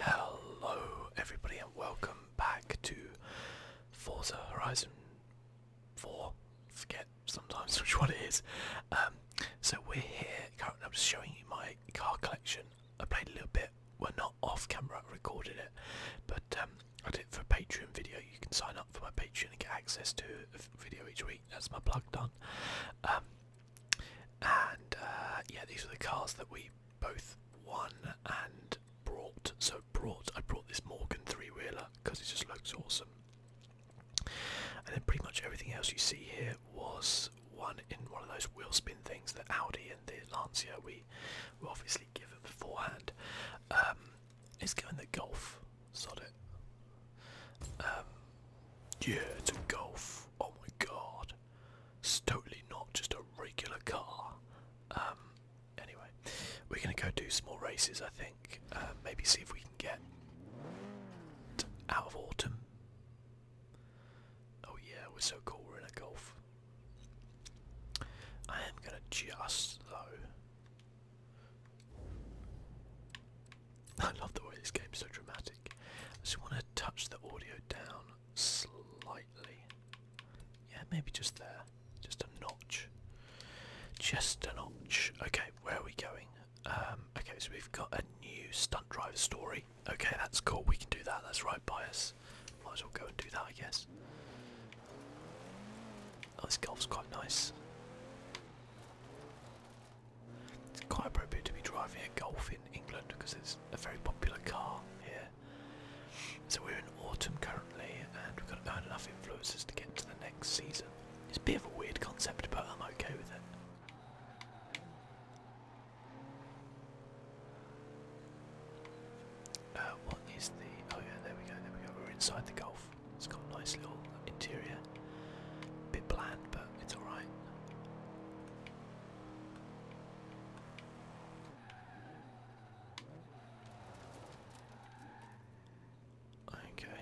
Hello everybody and welcome back to Forza Horizon 4, forget sometimes which one it is. Um, so we're here, currently I'm just showing you my car collection. I played a little bit, We're not off camera, I recorded it, but um, I did it for a Patreon video. You can sign up for my Patreon and get access to a video each week, that's my plug done. Um, and uh, yeah, these are the cars that we both won and brought. So brought, I brought this Morgan three-wheeler because it just looks awesome. And then pretty much everything else you see here was one in one of those wheel spin things that Audi and the Lancia we will obviously given beforehand. Um, let's go in the Golf. Sod it. Um, yeah, it's a Golf. Oh my god. It's totally not just a regular car. Um, anyway, we're gonna go do some more races. I think uh, maybe see if we can get out of autumn. Oh yeah, we're so cool. We're in a golf. I am gonna just though. I love the way this game's so dramatic. I just want to touch the audio down slightly. Yeah, maybe just there. Just a notch. Just a notch. Okay, where are we going? Um, okay, so we've got a new stunt driver story. Okay, that's cool. We can do that. That's right by us. Might as well go and do that, I guess. Oh, this golf's quite nice. It's quite appropriate to be driving a golf in England because it's a very popular car here. So we're in autumn currently, and we've got enough influences to get to the next season. It's a bit of a weird concept, but I'm okay with it. Uh, what is the... oh yeah, there we go, there we go, we're inside the Gulf. It's got a nice little interior. Bit bland, but it's alright. Okay.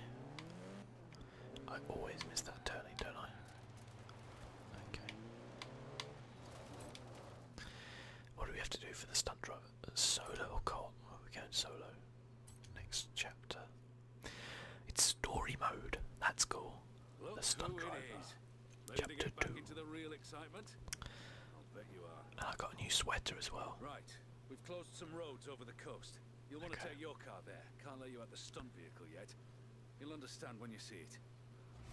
I always miss that turning, don't I? Okay. What do we have to do for the stunt driver? Solo or cot? Well, we're going solo. Next chapter. It's story mode. That's cool. Look the stunt driver. Chapter to get back two. into the real excitement. I'll bet you are. And I got a new sweater as well. Right. We've closed some roads over the coast. You'll want to okay. take your car there. Can't let you out the stunt vehicle yet. You'll understand when you see it.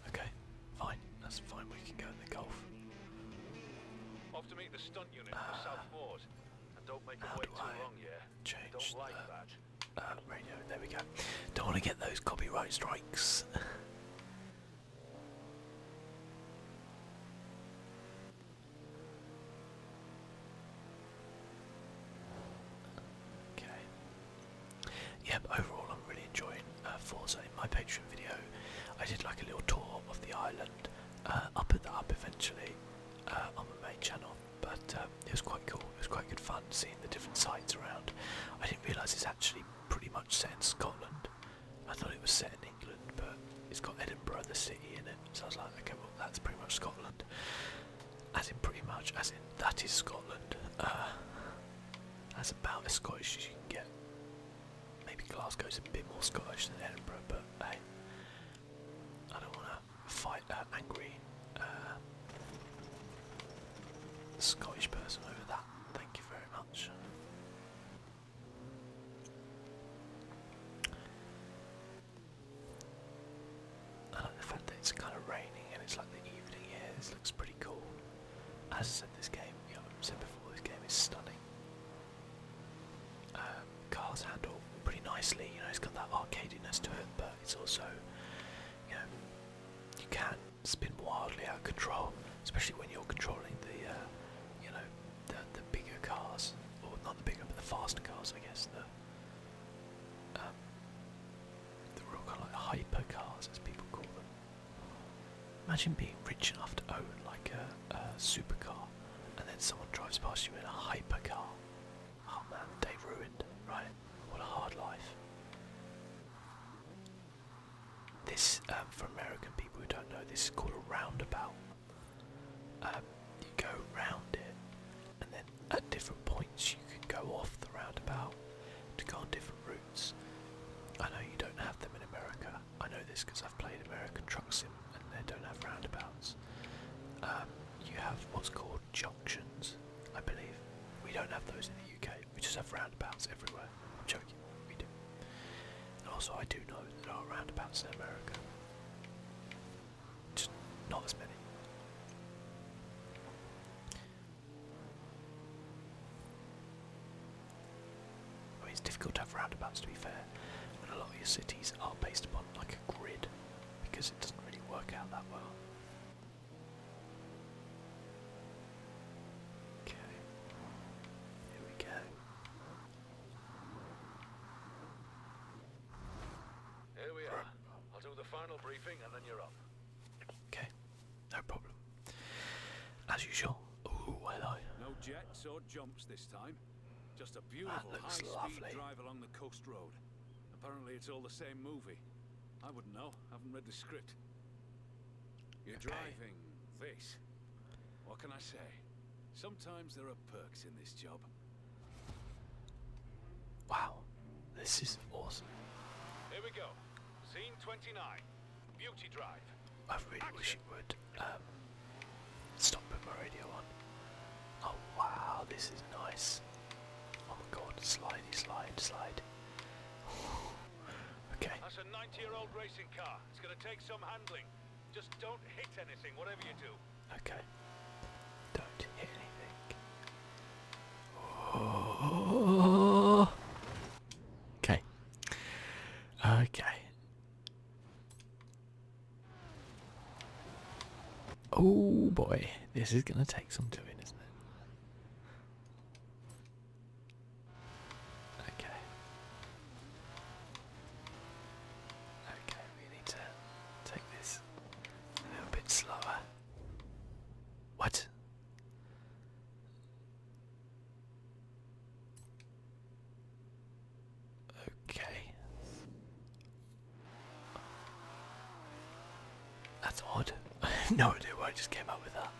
Okay. Fine. That's fine. We can go in the golf. Off to meet the stunt unit uh, ah. at And don't make it wait too long, yeah. Don't ah, want to get those copyright strikes. Okay. Yeah, overall I'm really enjoying uh, Forza. my Patreon video, I did like a little tour of the island. I'll uh, put that up eventually uh, on my main channel, but um, it was quite cool. It was quite good fun seeing the different sides around. I didn't realise it's actually pretty much set in Scotland. I thought it was set in England, but it's got Edinburgh, the city, in it. So I was like, okay, well, that's pretty much Scotland. As in, pretty much, as in, that is Scotland. Uh, that's about as Scottish as you can get. Maybe Glasgow's a bit more Scottish than Edinburgh, but hey, I don't want to fight an angry uh, Scottish person over that. Thank you very much. I like the fact that it's kind of raining and it's like the evening here. This looks pretty cool. As I said, this game, you know, said before, this game is stunning. Um, cars handle pretty nicely. You know, it's got that arcadiness to it, but it's also, you know, you can spin wildly out of control, especially when you're controlling the, uh, you know, the, the bigger cars, or not the bigger, but the faster cars, I guess, the, um, the real kind like hyper cars, as people call them. Imagine being rich enough to own like a, supercar, and then someone drives past you in a hypercar. Oh man, they ruined, right? What a hard life. This, um, for American people who don't know, this is called a roundabout. Um, you go round it, and then at different points you can go off the roundabout to go on different routes. I know you don't have them in America. I know this because I've played American Truck Sim, and they don't have roundabouts. Um, you have what's called junctions, I believe. We don't have those in the UK. We just have roundabouts everywhere but I'm joking, we do. also I do know that there are roundabouts in America. Just not as many. it's difficult to have roundabouts to be fair, when a lot of your cities are based upon like a grid because it doesn't really work out that well. Okay, here we go. Here we are. I'll do the final briefing and then you're up. Okay, no problem. As usual. Ooh, hello. No jets or jumps this time. Just a beautiful high-speed drive along the coast road. Apparently, it's all the same movie. I wouldn't know. I haven't read the script. You're driving this. What can I say? Sometimes there are perks in this job. Wow. This is awesome. Here we go. Scene 29. Beauty Drive. I really wish it would um, stop putting my radio on. Oh wow, this is nice. Oh my god, slidey slide, slide. Okay. That's a 90-year-old racing car. It's going to take some handling. Just don't hit anything, whatever you do. Okay. Don't hit anything. Okay. Okay. Oh boy, this is going to take some doing, isn't it? Okay. Okay, we need to take this a little bit slower. What? Okay. That's odd. I have no idea why I just came up with that.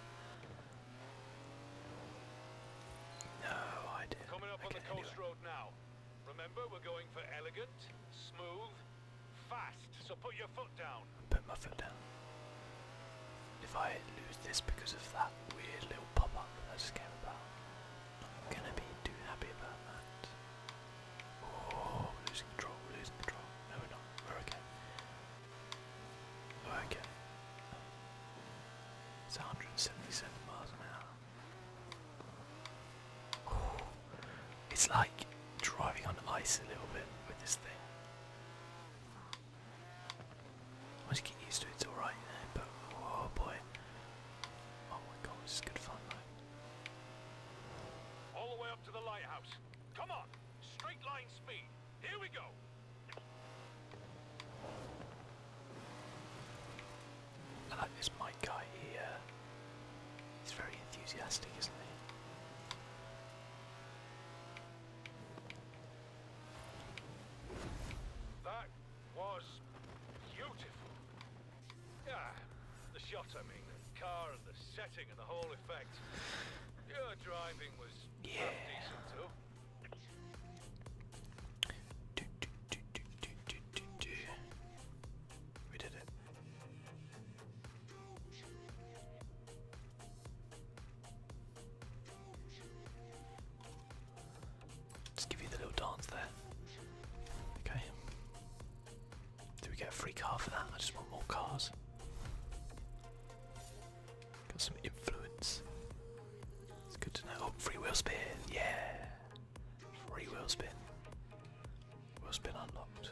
No, I did. Coming up on the coast road now. Remember, we're going for elegant, smooth, fast. So put your foot down. Put my foot down. If I lose this because of that weird little pop-up that I just came about, I'm gonna be too happy about that. Oh, losing control, losing control. No, we're not. We're okay. Okay. It's 177 miles an hour. It's like driving on ice a little bit with this thing. Once you get used to it, it's alright, but oh boy. Oh my god, this is good fun though. All the way up to the lighthouse. Come on! Straight line speed! Here we go. I like guy here. Uh, he's very enthusiastic, isn't he? That was beautiful. Yeah, the shot, I mean, the car and the setting and the whole effect. Your driving was yeah. Do, do, do, do, do, do, do. We did it. Just give you the little dance there. Okay. Do we get a free car for that? I just want more cars. Got some influence. It's good to know. Oh, free wheel spin, yeah. Free wheel spin. Wheel spin unlocked.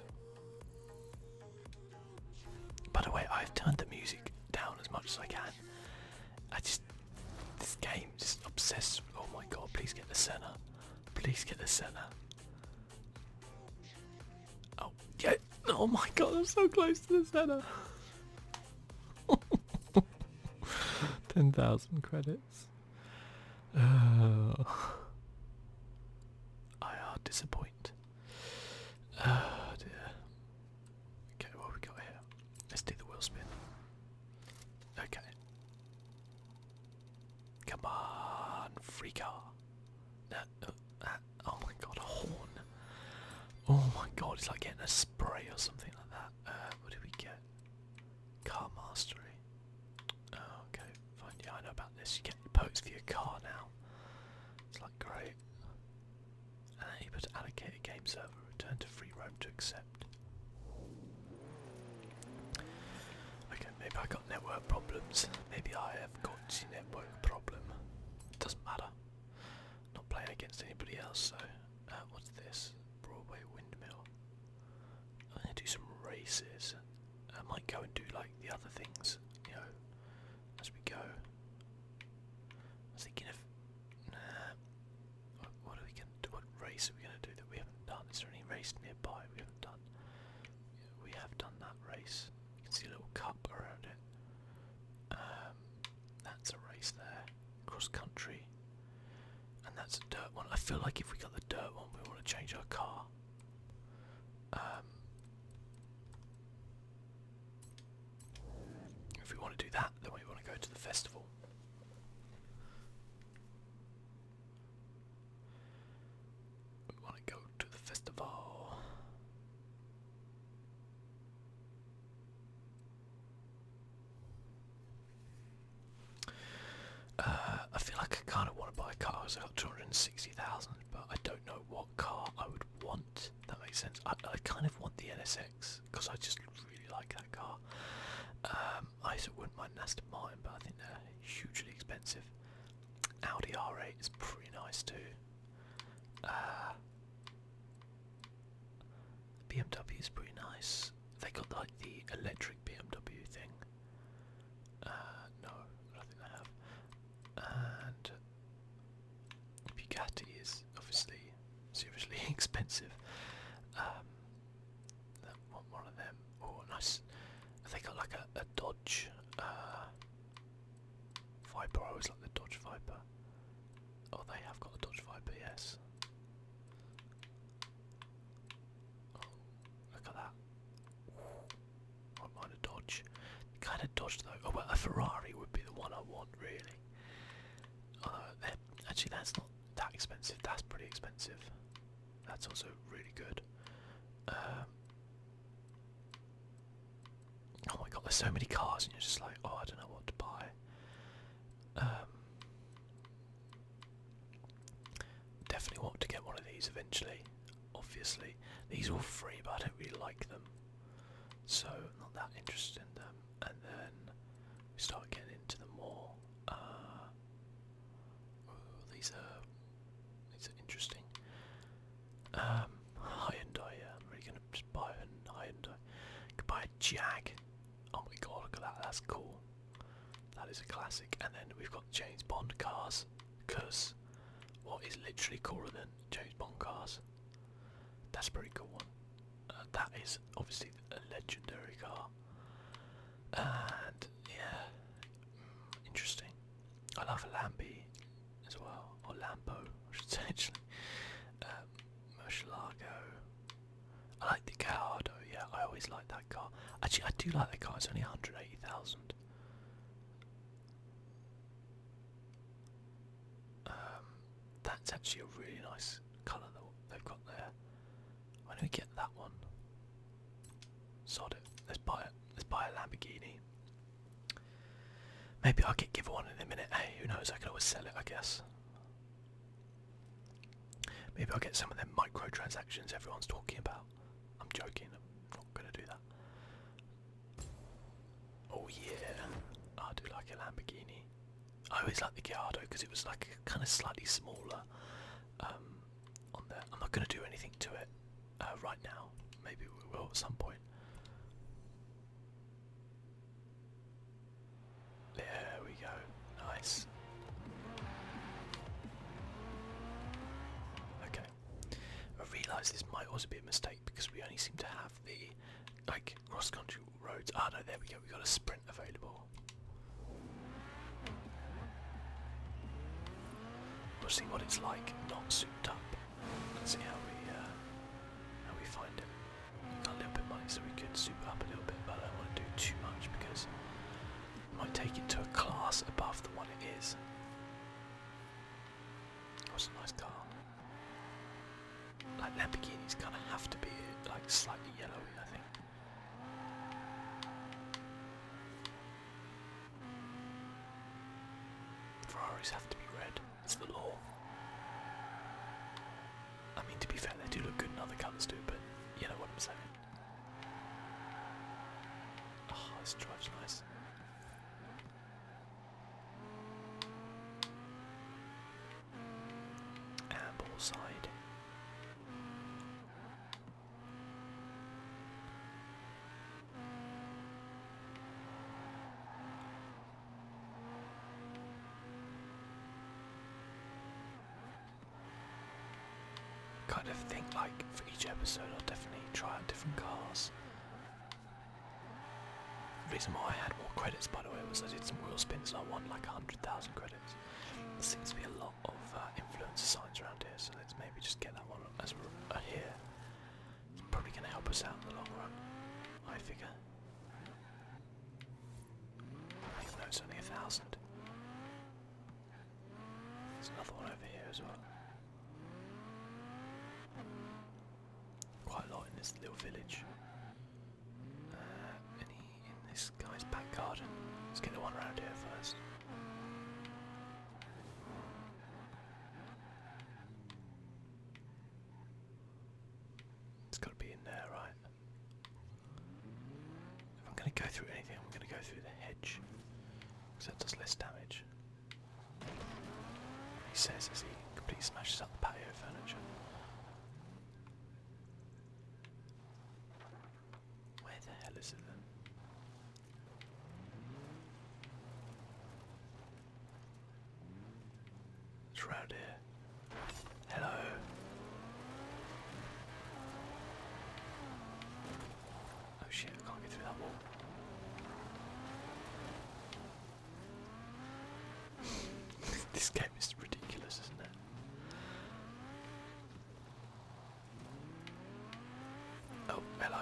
By the way, I've turned the music down as much as I can. I just this game just obsessed. Oh my god! Please get the center. Please get the center. Oh, yeah. Oh my god, I'm so close to the center. 10,000 credits. Uh, I are disappointed. Oh uh, dear. Okay, what we got here? Let's do the wheel spin. Okay. Come on, free car oh my god, a horn. Oh my god, it's like getting a spray or something like that. Uh, what did we get? Car mastery. Oh, okay, fine. Yeah, I know about this. You get perks for your car now. It's like great. And then allocate a game server. Return to free roam to accept. Okay, maybe I got network problems. Maybe I have got network problem. Doesn't matter. Not playing against anybody else So, uh, what's this? Broadway Windmill. I'm gonna do some races. I might go and do like the other things, you know, as we go. I was thinking of, nah, what, are we gonna do? What race are we gonna do that we haven't done? Is there any race nearby we haven't done? we have done that race. You can see a little cup around it. Um, that's a race there, cross country, and that's a dirt one. I feel like if we got the dirt one, we want to change our car. Um, if we want to do that, then we want to go to the festival. We want to go to the festival. Uh, I feel like I kind of want to buy cars. I got two hundred and sixty thousand, but I don't know what car I would want. That makes sense. I, I kind of want the NSX because I just really like that car. Um, I wouldn't mind an Aston Martin, but I think they're hugely expensive. Audi R8 is pretty nice too. Uh, BMW is pretty nice. They got like the electric BMW thing. Uh, no, I I have. And Bugatti is obviously seriously expensive. Um, one, of them. Oh, nice. They got like a, a Dodge. Uh, Viper, I always like the Dodge Viper. Oh, they have got the Dodge Viper, yes. Oh, look at that. I do Dodge. Kind of Dodge though. Oh, well, a Ferrari would be the one I want, really. Oh, actually, that's not that expensive. That's pretty expensive. That's also really good. Um, Oh my god, there's so many cars, and you're just like, oh, I don't know what to buy. Um, definitely want to get one of these eventually. Obviously, these are all free, but I don't really like them, so not that interested in them. And then we start getting into the mall. Uh, oh, these are these are interesting. Um, yeah. I'm really gonna just buy a high Could buy a Jag. Oh my god, look at that. That's cool. That is a classic. And then we've got James Bond cars. what is literally cooler than James Bond cars? That's a pretty cool one. Uh, that is obviously a legendary car. And yeah, mm, interesting. I love a Lambie as well, or Lampo, I actually. Murcielago. Um, I like the Gallardo, yeah, I always like that car. Actually, I do like that car, it's only 180,000. Um, that's actually a really nice colour that they've got there. Why don't we get that one? Sod it. Let's buy it. Let's buy a Lamborghini. Maybe I'll get given one in a minute. Hey, eh? who knows? I can always sell it, I guess. Maybe I'll get some of them transactions everyone's talking about. I'm joking, I'm not gonna do that. Oh yeah, I do like a Lamborghini. I always liked the Giardo because it was like kind of slightly smaller um, on there. I'm not gonna do anything to it uh, right now. Maybe we will at some point. There we go. Nice. Okay. I realise this might also be a mistake because we only seem to have the like cross-country roads. Ah no, there we go. We got a sprint available. We'll see what it's like not souped up. Let's see how we uh, how we find him. Got a little bit money, so we could super up a little bit, but I don't want to do too much because it might take it to a class above the one it is. What's a nice car? Like Lamborghini's kind of have to be like slightly yellowy, I think. Ferraris have to be red. It's the law. I mean, to be fair, they do look good in other colours too, but you know what I'm saying. oh, this drive's nice. And side. Kind of think like for each episode I'll definitely try out different cars. The reason why I had more credits by the way was I did some wheel spins I won like 100,000 credits. There seems to be a lot of uh, influencer signs around here so let's maybe just get that one as we're here. It's probably going to help us out in the long run, I figure. Even though it's only a thousand. There's another one over here as well. Quite a lot in this little village. Uh, any in this guy's back garden? Let's get the one around here first. It's got to be in there, right? If I'm going to go through anything, I'm going to go through the hedge. Because that does less damage. He says as he completely smashes up the patio furniture. Where the hell is it then? It's round here. Hello. Oh shit, can't get through that wall. this game is ridiculous, isn't it? Oh, hello.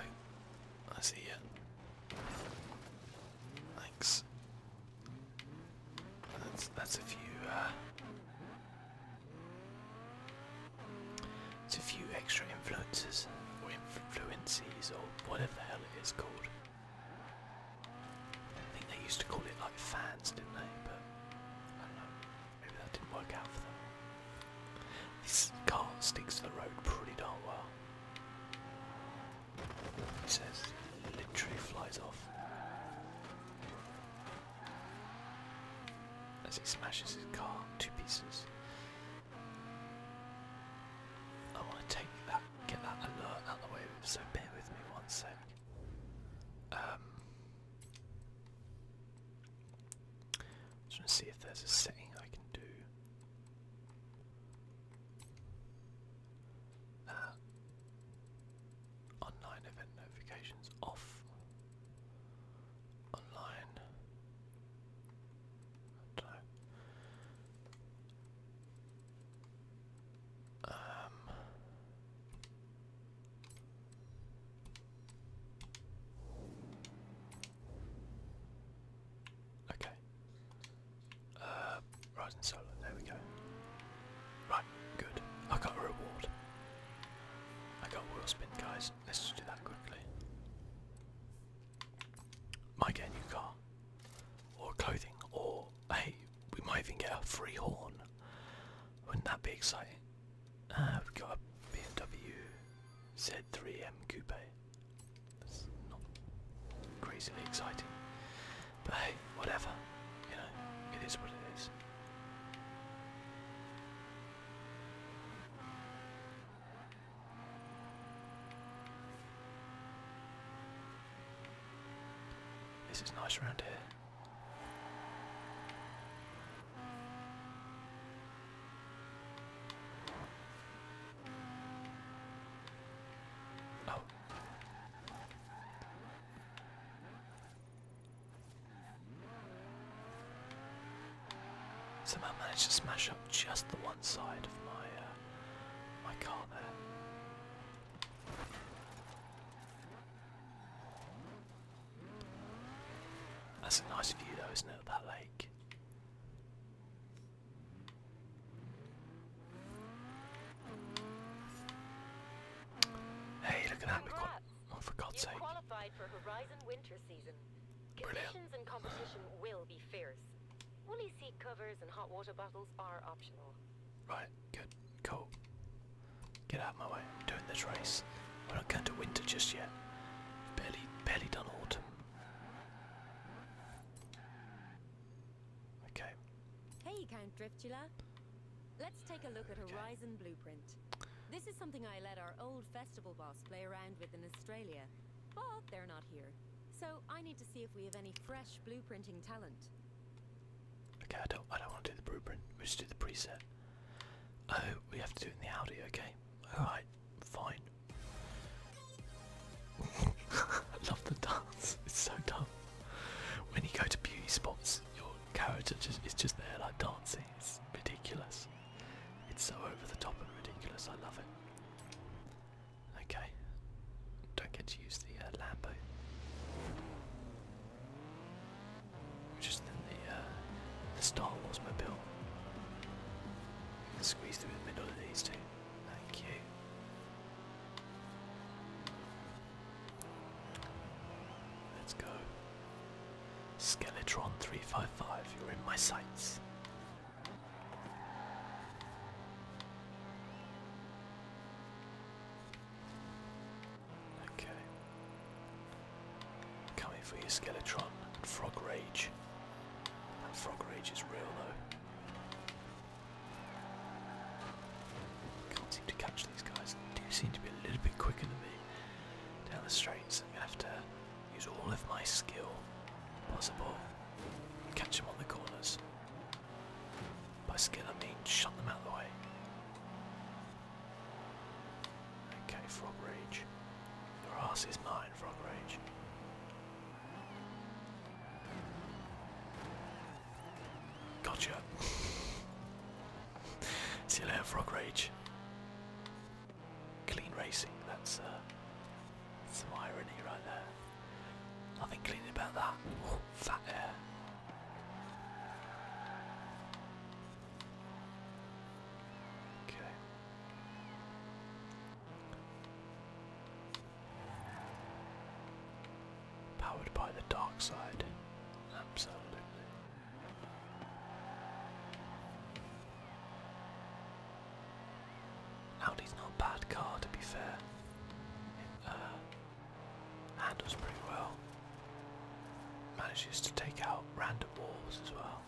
I see you. Thanks. That's that's if you uh, it's a few extra influences or influences or whatever the hell it is called. I think they used to call it like fans, didn't they? But I don't know. Maybe that didn't work out for them. This car sticks to the road pretty darn well. He says, literally flies off as he smashes his car to pieces. I want to take that, get that alert out the way, so bear with me one sec. Um, just want to see if there's a setting I can do. Uh, online event notifications off online um. Okay, uh, Rising Solar, there we go. Right, good. I got a reward. I got a spin, guys. Let's do that quickly. Might get a new car, or clothing, or hey, we might even get a free horn. Wouldn't that be exciting? Ah, uh, we got a BMW Z3M Coupe. That's not crazily exciting. But hey, whatever. You know, it is what it is. This is nice around here. Oh, Somehow managed to smash up just the one side of my uh, my car there. That's a nice view though, isn't it, of that lake? Hey, look at that. We got, oh, qualified for Horizon winter season. Conditions and competition will be fierce. Woolly seat covers and hot water bottles are optional. Right, good, cool. Get out of my way. doing this race. We're not going to winter just yet. Barely, barely done autumn. Okay. Hey, Count Driftula. Let's take a look at Horizon Blueprint. This is something I let our old festival boss play around with in Australia, but they're not here. So I need to see if we have any fresh blueprinting talent. Okay, don't, I don't want to do the blueprint. We should do the preset. Oh, we have to do it in the Audi, okay? Alright, fine. I love the dance. It's so dumb. When you go to beauty spots, your character is just there like dancing. It's ridiculous. It's so over the top and ridiculous. I love it. Okay. Don't get to use the uh, Lambo. Just in the, uh, the Star Wars mobile. Squeeze through the middle of these two. Thank you. Let's go. Skeletron 355, you're in my sights. Okay. Coming for you, Skeletron. Frog Rage. That Frog Rage is real, though. Can't seem to catch these guys. do seem to be a little bit quicker than me down the So I'm going to have to use all of my skill possible. to Catch them on the corners. By skill I mean shut them out of the way. Okay, Frog Rage. Your ass is mine, Frog Rage. Gotcha. See you later, Frog Rage. Clean racing, that's uh, some irony right there. Nothing clean about that. Oh, fat Okay. Powered by the dark side. Absolutely. Audi's not a bad car to be fair. Uh, handles pretty well. Manages to take out random walls as well.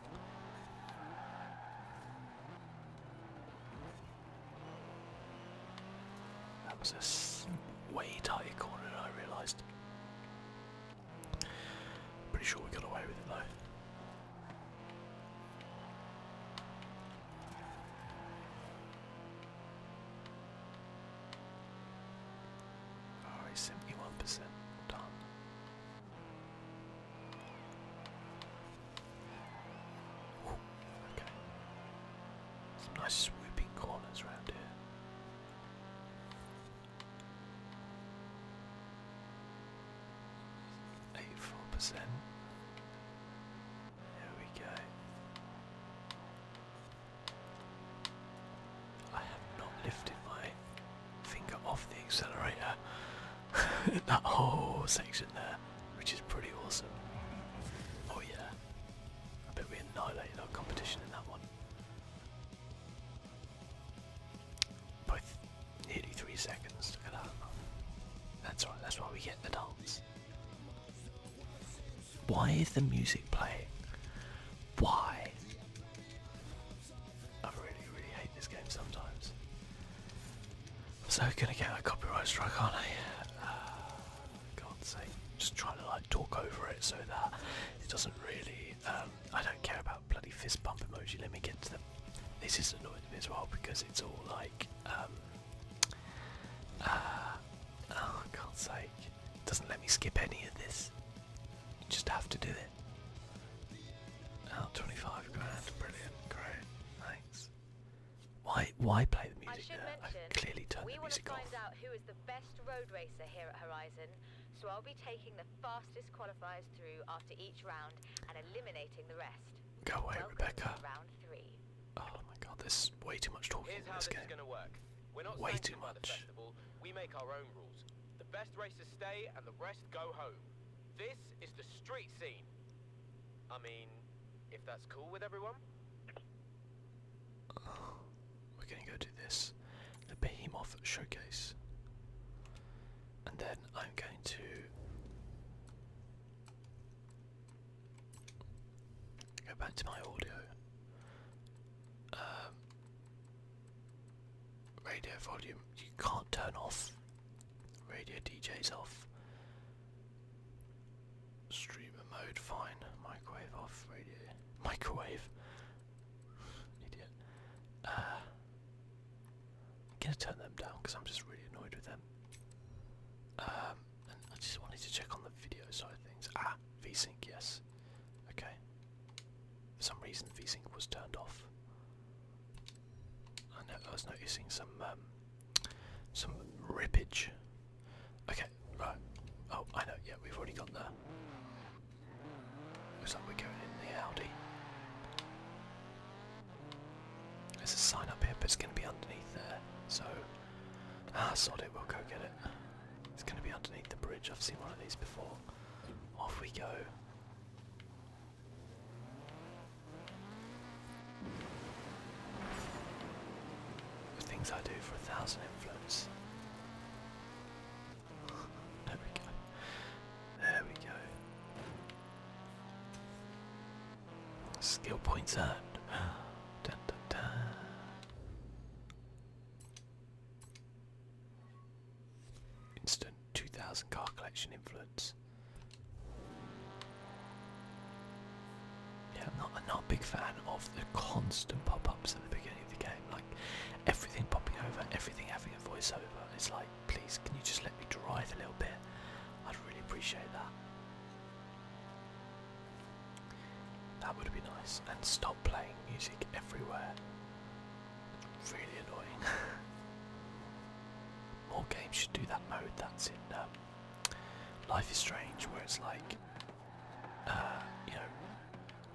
That was a way tighter corner than I realised. Pretty sure we got away with it though. Alright, 71% done. Some nice swooping corners around here. Eight percent. There we go. I have not lifted my finger off the accelerator in that whole section there which is pretty awesome. Oh yeah, I bet we annihilated our competition in that one. Both nearly three seconds. Look at that. That's why. That's why we get the dance. Why is the music playing? Why? I really, really hate this game sometimes. So gonna get a copyright strike, aren't I? Uh, God's sake, just trying to like talk over it so that it doesn't really. Um, I don't care about bloody fist bump emoji. Let me get to them. This is annoying me as well because it's all like, um, uh, oh, God's sake, doesn't let me skip any of this. just have to do it. Oh, 25 grand, brilliant, great, thanks. Why why play the music I now? Mention, I've clearly turned we the music find off. Out who is the best road racer here at Horizon, so I'll be taking the fastest qualifiers through after each round and eliminating the rest. Go away, Rebecca. Round three. Oh my god, there's way too much talking Here's in this, this game. way too much. Festival, we make our own rules. The best racers stay and the rest go home. This is the street scene. I mean, if that's cool with everyone we're going to go to this, the Behemoth Showcase. And then I'm going to go back to my audio. Um, radio volume, you can't turn off. Radio DJ's off. Streamer mode, fine. Microwave off, radio. Microwave? Idiot. Uh, I'm gonna turn them down because I'm just really annoyed with them. Um, and I just wanted to check on the video side of things. Ah, VSync, yes. Okay. For some reason, VSync was turned off. I was noticing some um, some rippage. Okay, right. Oh, I know. Yeah, we've already got there. Looks like we're going in the Audi. There's a sign up here, but it's going to be underneath there. So, ah, sod it. We'll go get it. It's going to be underneath the bridge. I've seen one of these before. Off we go. The things I do for a thousand influence. there we go. There we go. Skill points earned. dun, dun, dun. Instant 2000 car collection influence. Yeah, I'm not, a big fan of the constant pop-ups at the beginning of the game. Like everything popping over, everything having a voiceover. It's like, please, can you just let me drive a little bit? I'd really appreciate that. That would be nice. And stop playing music everywhere. Really annoying. More games should do that mode. That's in Life is Strange, where it's like, uh, you know,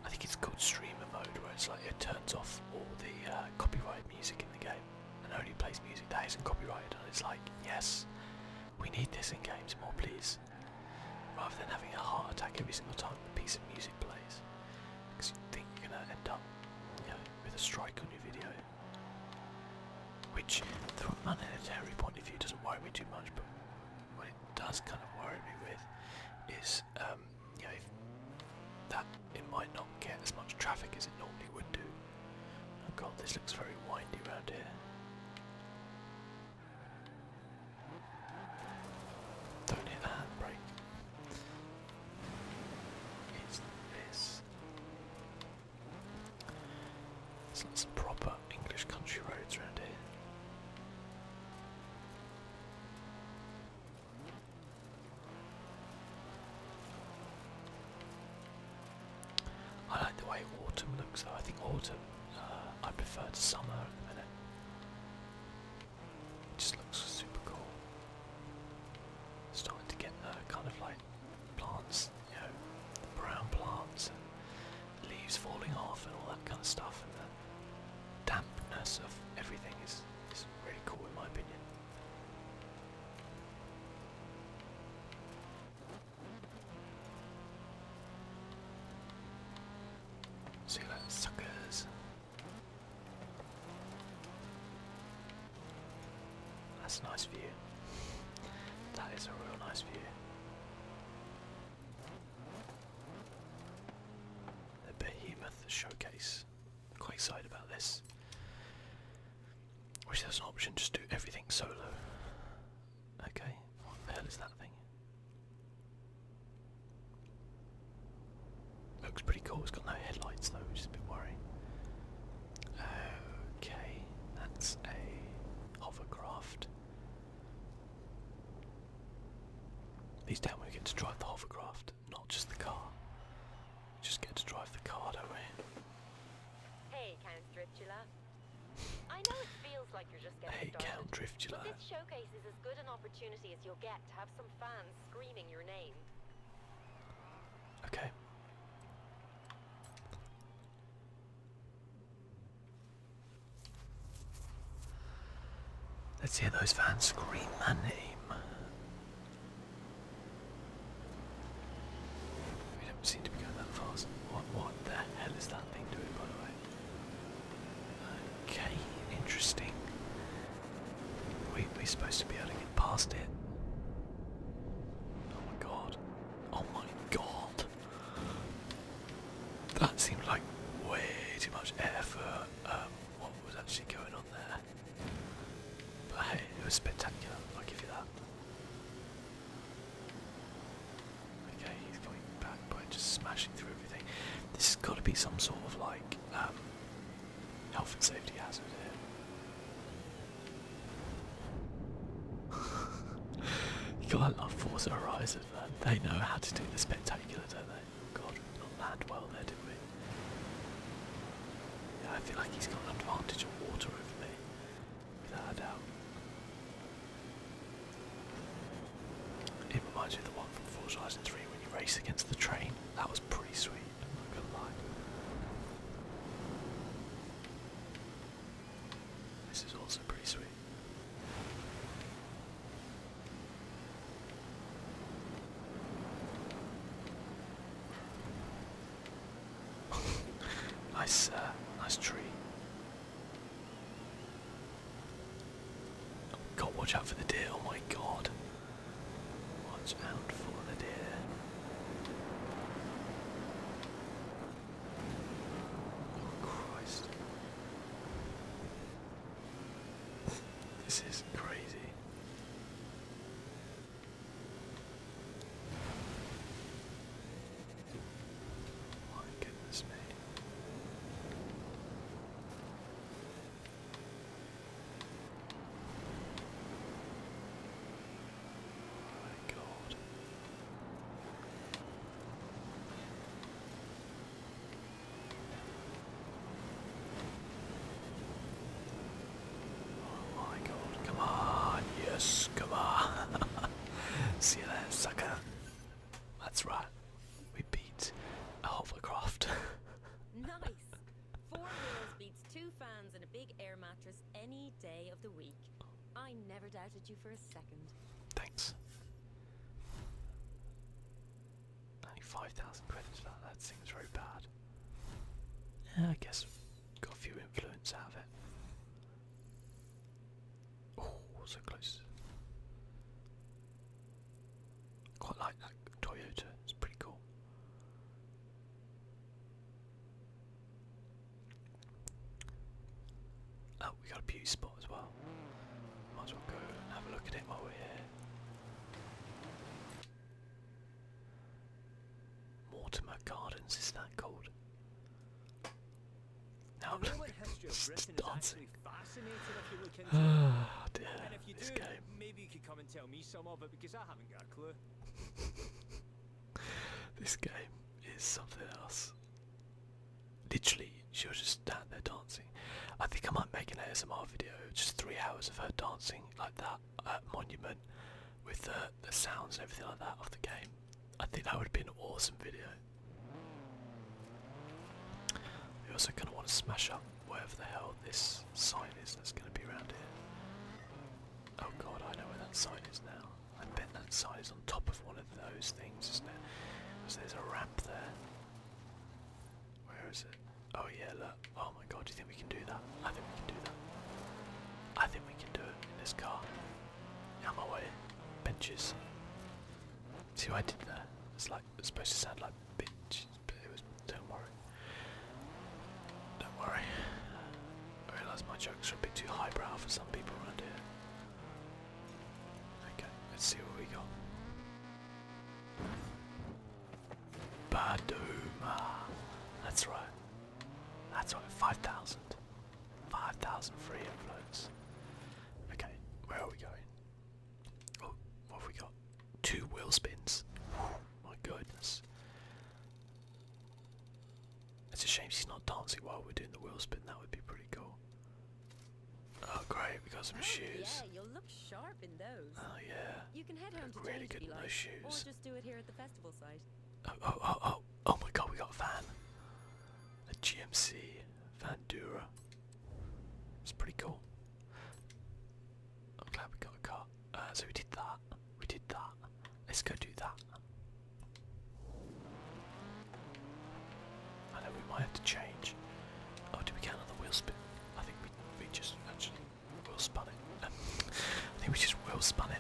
I think it's called streamer mode, where it's like it turns off all the uh, copyright music in the game and only plays music that isn't copyrighted. And it's like, yes, we need this in games more, please, rather than having a heart attack every single time a piece of music plays, because you think you're gonna end up, you know, with a strike on your video which, from a monetary point of view, doesn't worry me too much, but what it does kind of worry me with is, um, you know, that it might not get as much traffic as it normally would do. Oh god, this looks very windy around here. Don't hit the handbrake. It's this. It's like some proper English country roads around here. I like the way autumn looks though. I think autumn, uh, I prefer to summer at the minute. It just looks super cool. Starting to get kind of like plants, you know, the brown plants and leaves falling off and all that kind of stuff, and the dampness of everything is, is really cool in my opinion. See you suckers. That's a nice view. That is a real nice view. The Behemoth Showcase. I'm quite excited about this. Wish there was an option just do everything solo. Okay, what the hell is that thing? Looks pretty cool. It's got no headlights though, which is a bit worrying. Okay, that's a hovercraft. These time we get to drive the hovercraft, not just the car. just get to drive the car, don't we? Hey, Count Driftula. I know it feels like you're just getting hey, started, Count Driftula. but this showcase is as good an opportunity as you'll get to have some fans screaming your name. Okay. Let's hear those fans scream my name. We don't seem to be going that fast. What, the hell is that thing doing, by the way? Okay, interesting. We, we're supposed to be able to get past it. Oh my god. Oh my god. That seemed like way too much effort. Um, what was actually going on there. But hey, it was spectacular, I'll give you that. Okay, he's coming back by just smashing through everything. This has got to be some sort of like um, health and safety hazard here you gotta love Forza Horizon, man. They know how to do the spectacular, don't they? God, we did not land well there, did we? I feel like he's got an advantage of water over me, without a doubt. It reminds me of the one from Forza Horizon 3 when you race against the train. That was pretty sweet, I'm this is also pretty sweet. nice, uh, nice tree. God, watch out for the deer! Oh my God! Watch out for the deer. Oh, Christ. This is crazy. My goodness me. Oh my god. Oh my god, come on, yes, come on. See you there, sucker. That's right. We beat a hovercraft. nice. Four wheels beats two fans and a big air mattress any day of the week. I never doubted you for a second. Thanks. 5,000 credits that, that very bad. Yeah, I guess got a few influence out of it. Oh, so close. Quite like that Toyota, it's pretty cool. Oh, we got a beauty spot as well. Might as well go have a look at it while we're here. Mortimer Gardens is that called? Now I'm really dancing. Ah, dear, this game. this game is something else. Literally, she was just down there dancing. I think I might make an ASMR video, just three hours of her dancing like that uh, Monument with uh, the sounds and everything like that of the game. I think that would be an awesome video. We also kind of want to smash up wherever the hell this sign is that's going to be around here. Oh god, I know where that sign is now. I bet that side is on top of one of those things, isn't it? Because there's a ramp there. Where is it? Oh yeah, look. Oh my god, do you think we can do that? I think we can do that. I think we can do it in this car. Out my way. Benches. See what I did there? It's like it's supposed to sound like bitches, but it was don't worry. Don't worry. I realise my jokes are a bit too highbrow for some people around here. Okay, let's see what we got. Baduma. That's right. That's right, 5,000. free influence. Okay, where are we going? Oh, what have we got? Two wheel spins. my goodness. It's a shame she's not dancing while we're doing the wheel spin. That would be pretty cool. Oh great, we got some oh, shoes. Yeah, you'll look sharp in those. Oh yeah. You can head home to today, good in like, just do it here at the festival site. Oh oh oh oh oh my god, we got a van. A GMC Vandura. It's pretty cool. I'm glad we got a car. Uh, so we did that. We did that. Let's go do that. I know we might have to change. Oh, do we count on wheel spin? I think we, we just actually wheel spun it. I think we just wheel spun it.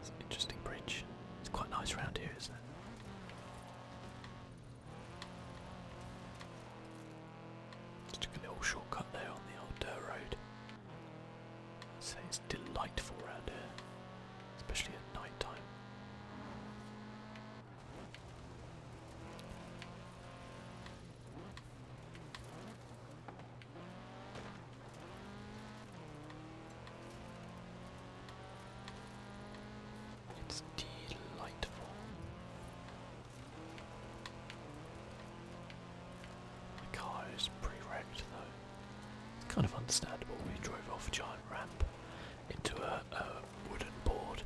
It's an interesting bridge. It's quite nice round here, isn't it? took a little shortcut there on the old dirt road. say it's delightful round here especially at night time. It's delightful. The car is pre-wrecked though kind of understandable. We drove off a giant ramp into a, wooden board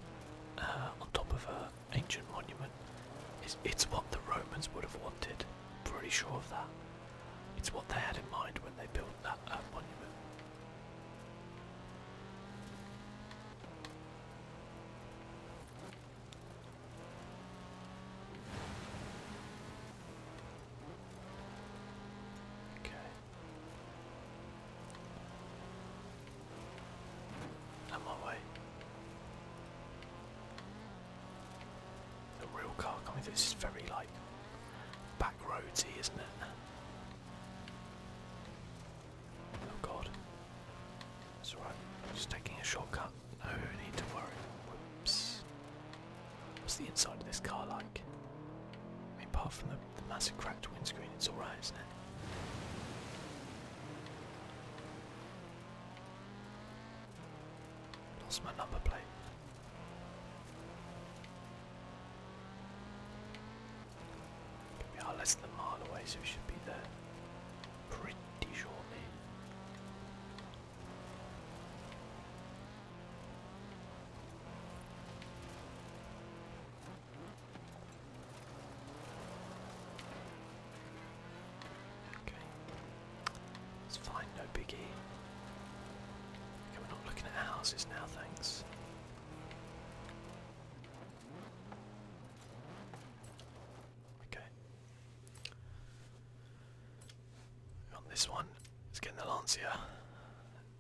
uh, on top of an ancient monument. It's, what the Romans would have wanted. pretty sure of that. It's what they had in mind when they built that uh, monument. Okay. i my way. The real car coming This is very like back roadsy, isn't it? Oh god. It's alright. Just taking a shortcut. No need to worry. Whoops. What's the inside of this car like? I mean, apart from the, massive cracked windscreen, it's alright, isn't it? Lost my number plate. We are less than a mile away, so we should be there pretty shortly. Okay. It's fine, no biggie. we're not looking at houses now, thanks. Okay. On this one, let's get the Lancia.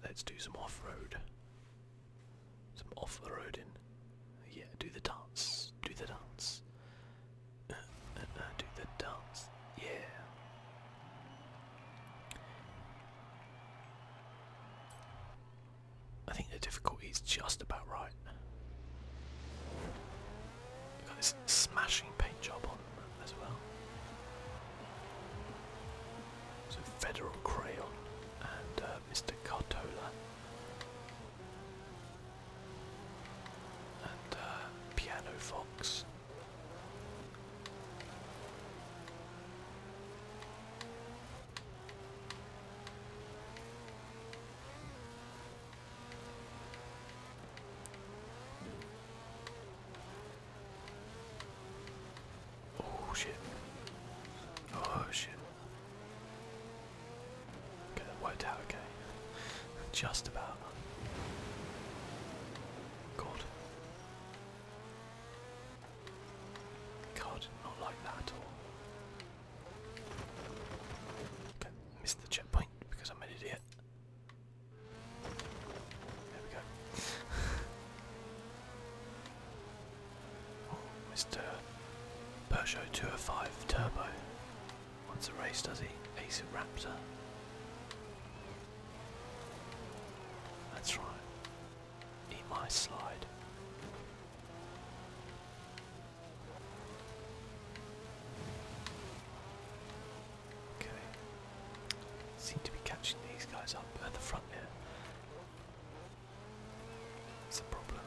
Let's do some off-road. Some off-roading. Yeah, do the dance. Do the dance. Uh, uh, uh, do the dance. Yeah. I think the difficulty is just about right. We've got this smashing paint job as well. So Federal Crayon and uh, Mr. Cartola and uh, Piano Fox. Oh shit. Oh shit. Okay, that out okay. Just about. God. God, not like that at all. Okay, missed the checkpoint because I'm an idiot. Oh, Mr. Peugeot 205 Turbo. What's a race, does he? Ace Raptor. That's right. Eat my slide. Seem to be catching these guys up at the front here. It's a problem.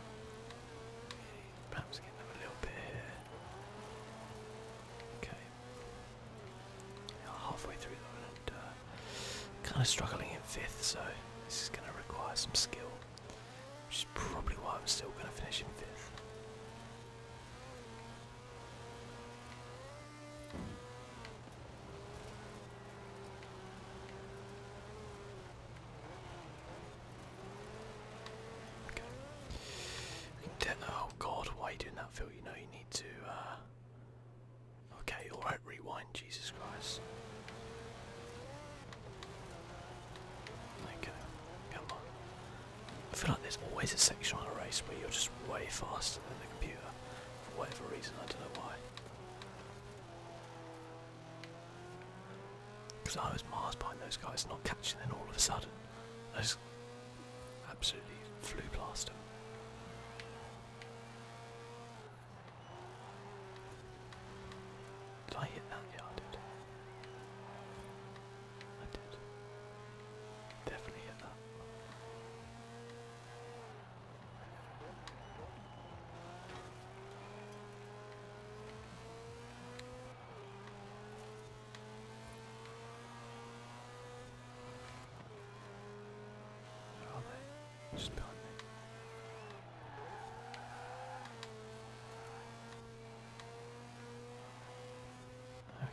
Perhaps get them a little bit here. Okay. halfway through them and uh, kind of struggling in fifth, so this is going to require some skill, which is probably why I'm still going to finish in fifth oh god, why are you doing that, Phil? You know you need to. Uh, okay, alright, rewind, Jesus Christ. Okay, come on. I feel like there's always a section on a race where you're just way faster than the computer for whatever reason, I don't know why. Because I was miles behind those guys, not catching them all of a sudden. I just absolutely flew past them. Did I hit that? Yeah, I did. I did. Definitely hit that. Where are they? Just behind me.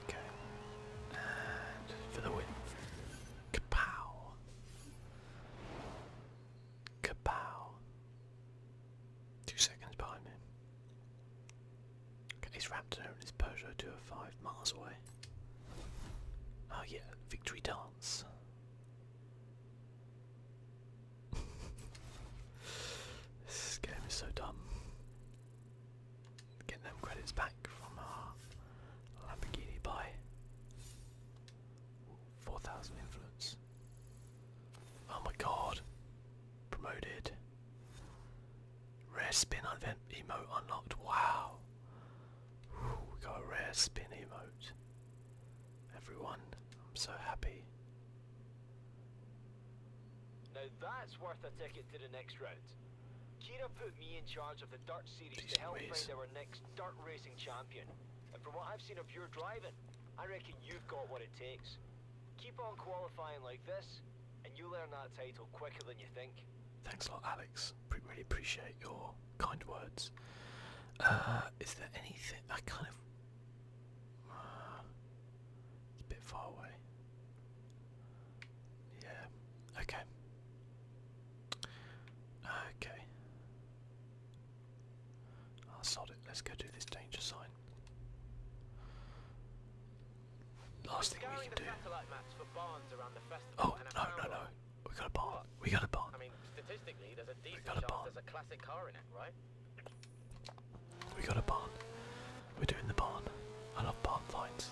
Okay. And for the win. Kapow. Kapow. Two seconds behind me. Okay, his raptor and his Peugeot oh five miles away. Oh yeah, victory dance. this game is so dumb get them credits back from our Lamborghini by 4,000 influence. Oh my god. Promoted. Rare spin event emote unlocked. Wow. Ooh, we got a rare spin emote. Everyone, I'm so happy. Now that's worth a ticket to the next round. Kira put me in charge of the Dirt Series to help ways. find our next dirt racing champion. And from what I've seen of your driving, I reckon you've got what it takes. Keep on qualifying like this, and you'll earn that title quicker than you think. Thanks a lot, Alex. Pre really appreciate your kind words. Uh, is there anything I kind of? Uh, it's a bit far away. Yeah. Okay. Okay. I'll sod it. Let's go do this danger sign. Last thing we can do. Oh no no no! We got a barn. We got a barn. I mean, statistically, we got a barn. There's a classic car in it, right? We got a barn. We're doing the barn. I love barn fights.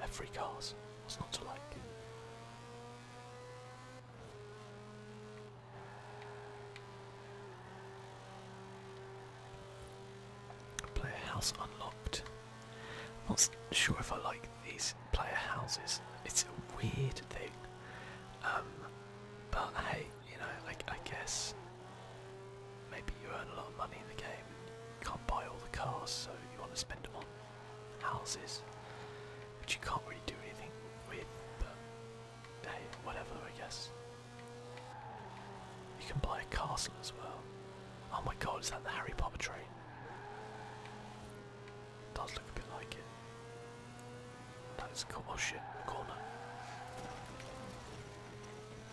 they free cars. What's not to like? Player house unlocked. not sure if I like these player houses. It's a weird thing. Um, but hey, you know, like I guess maybe you earn a lot of money in the game you can't buy all the cars, so you want to spend them on houses, But you can't really do anything with, but hey, whatever, I guess. You can buy a castle as well. Oh my god, is that the Harry Potter train? It does look a bit like it. That is cool. Oh shit, corner.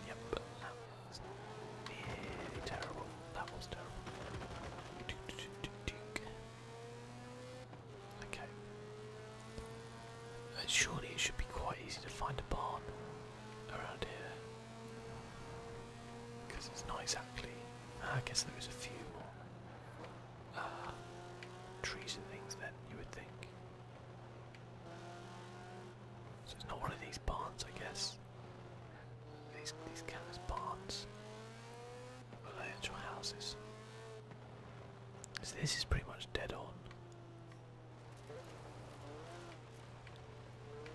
Yep, terrible. That was terrible. Okay. Uh, surely it should be quite easy to find a barn around here. Because it's not exactly. Ah, I guess there is a few more uh, trees and things then, you would think. So it's not one of these barns, I guess. These these count barns. Well, they houses. So this is pretty much dead on.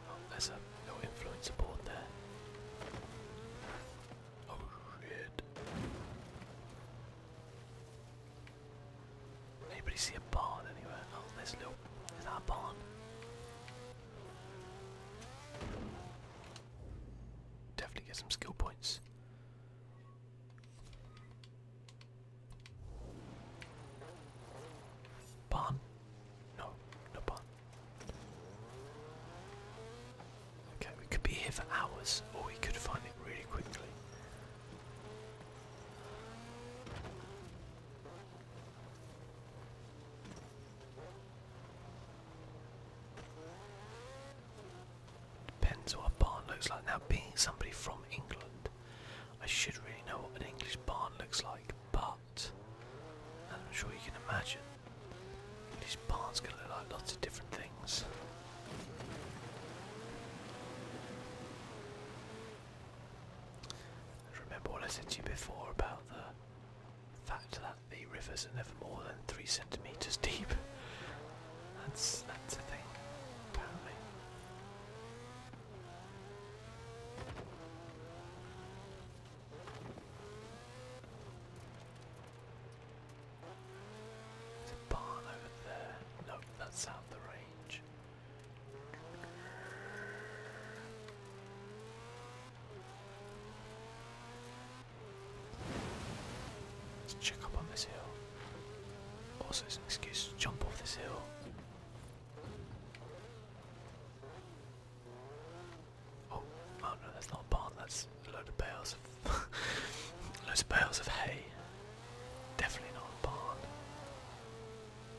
Oh, there's a little influencer board there. Oh shit. Anybody see a barn anywhere? Oh, there's a little. Is that a barn? Definitely get some skill points. Barn? No, no barn. Okay, we could be here for hours, or we could find it really quickly. Penzoil barn looks like. Now, being somebody from England, I should really know what an English barn looks like, but I'm sure you can imagine, English barns can look like lots of different things. Remember what I said to you before about the fact that the rivers are never more than three centimeters deep. That's that's a thing, apparently. There's a barn over there. No, that's out the range. Let's check up on this hill. Also, it's an excuse to jump off this hill. Oh, oh no, that's not a barn, that's a of bales of loads of bales of hay. Definitely not a barn.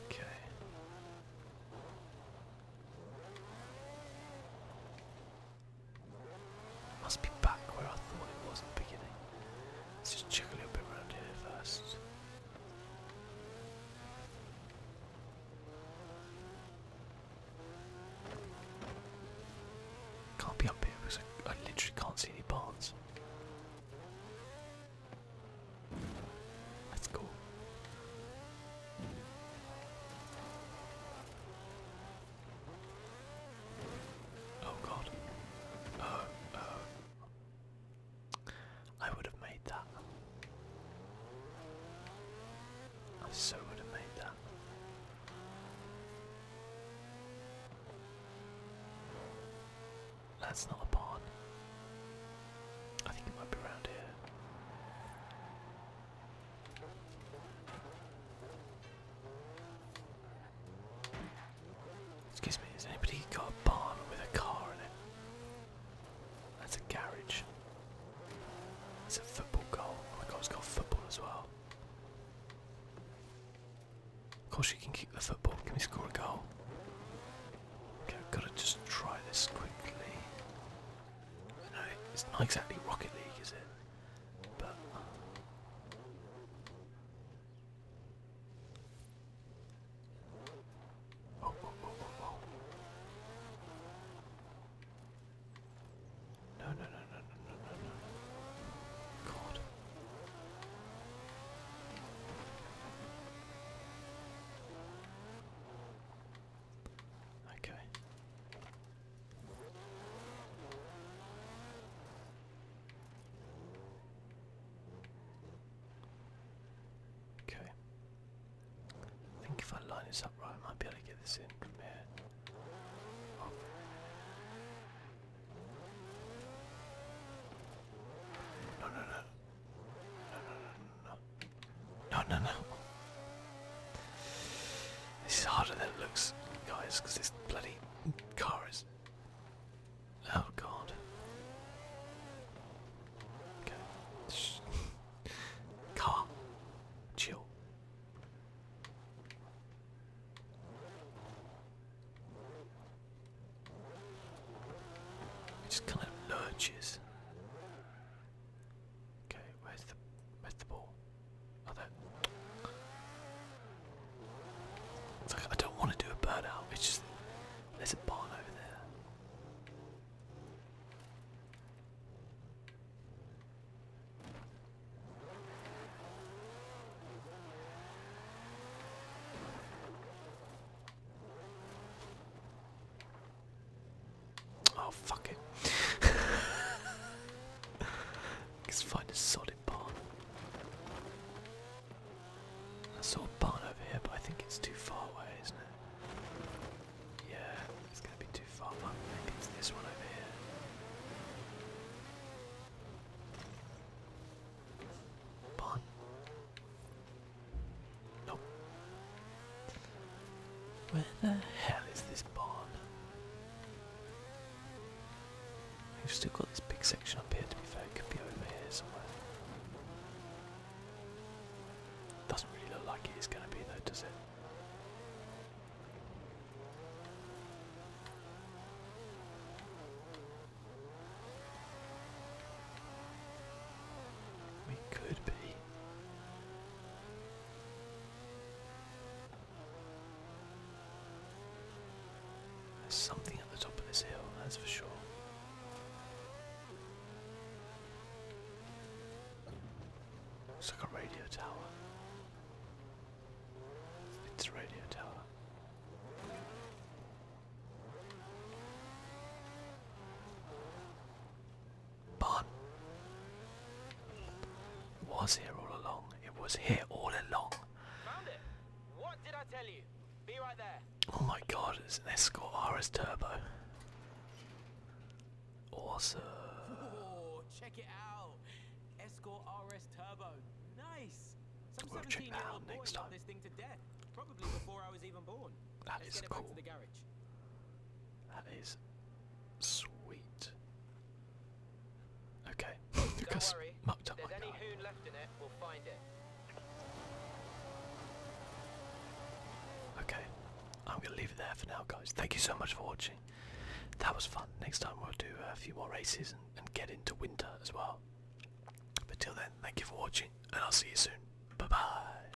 Okay. Must be back where I thought it was at the beginning. Let's just check a little bit around here first. Can't be up here because I literally can't see any barns. Let's go. Oh god. Oh, oh. I would have made that. I so would have made that. That's not a pawn. Excuse me, has anybody got a barn with a car in it? That's a garage. That's a football goal. Oh my god, it's got football as well. Of course, you can kick the football. Can we score a goal? Okay, I've got to just try this quickly. I it's not exactly Rocket League, is it? But oh, oh, oh, no, no, no, no, no, no, no. God. Okay. Okay. I think if I line this up right, I might be able to get this in from here. Oh. No, no, no. No, no, no. no, no, no. This is harder than it looks, guys, because this bloody car is. Oh god. Okay. Car. Chill. It just kind of lurches. Okay, where's the where's the ball? Oh there. It's like I don't want to do a bird it's just there's a barn over there. Oh, fuck it. Let's find a solid barn. I saw a barn over here, but I think it's too far away, isn't it? Yeah, it's gonna be too far. maybe it's this one over here. Barn. Nope. Where the hell is this barn? We've still got this big section up here to be fair, it could be over here somewhere. Doesn't really look like it is going to be though, does it? We could be there's something at the top of this hill, that's for sure. Looks like a radio tower. It's radio tower. But was here all along. It was here all along. Found it. What did I tell you? Be right there. Oh my god, it's an Escort RS Turbo. Awesome. Oh, check it out. Escort RS Turbo. Nice. Some we'll check that out This thing to death. Probably before I was even born. That cool. That is sweet. Okay, Lucas mucked up my car. We'll okay, I'm gonna leave it there for now, guys. Thank you so much for watching. That was fun. Next time we'll do a few more races and, and get into winter as well. But till then, thank you for watching, and I'll see you soon. Bye bye.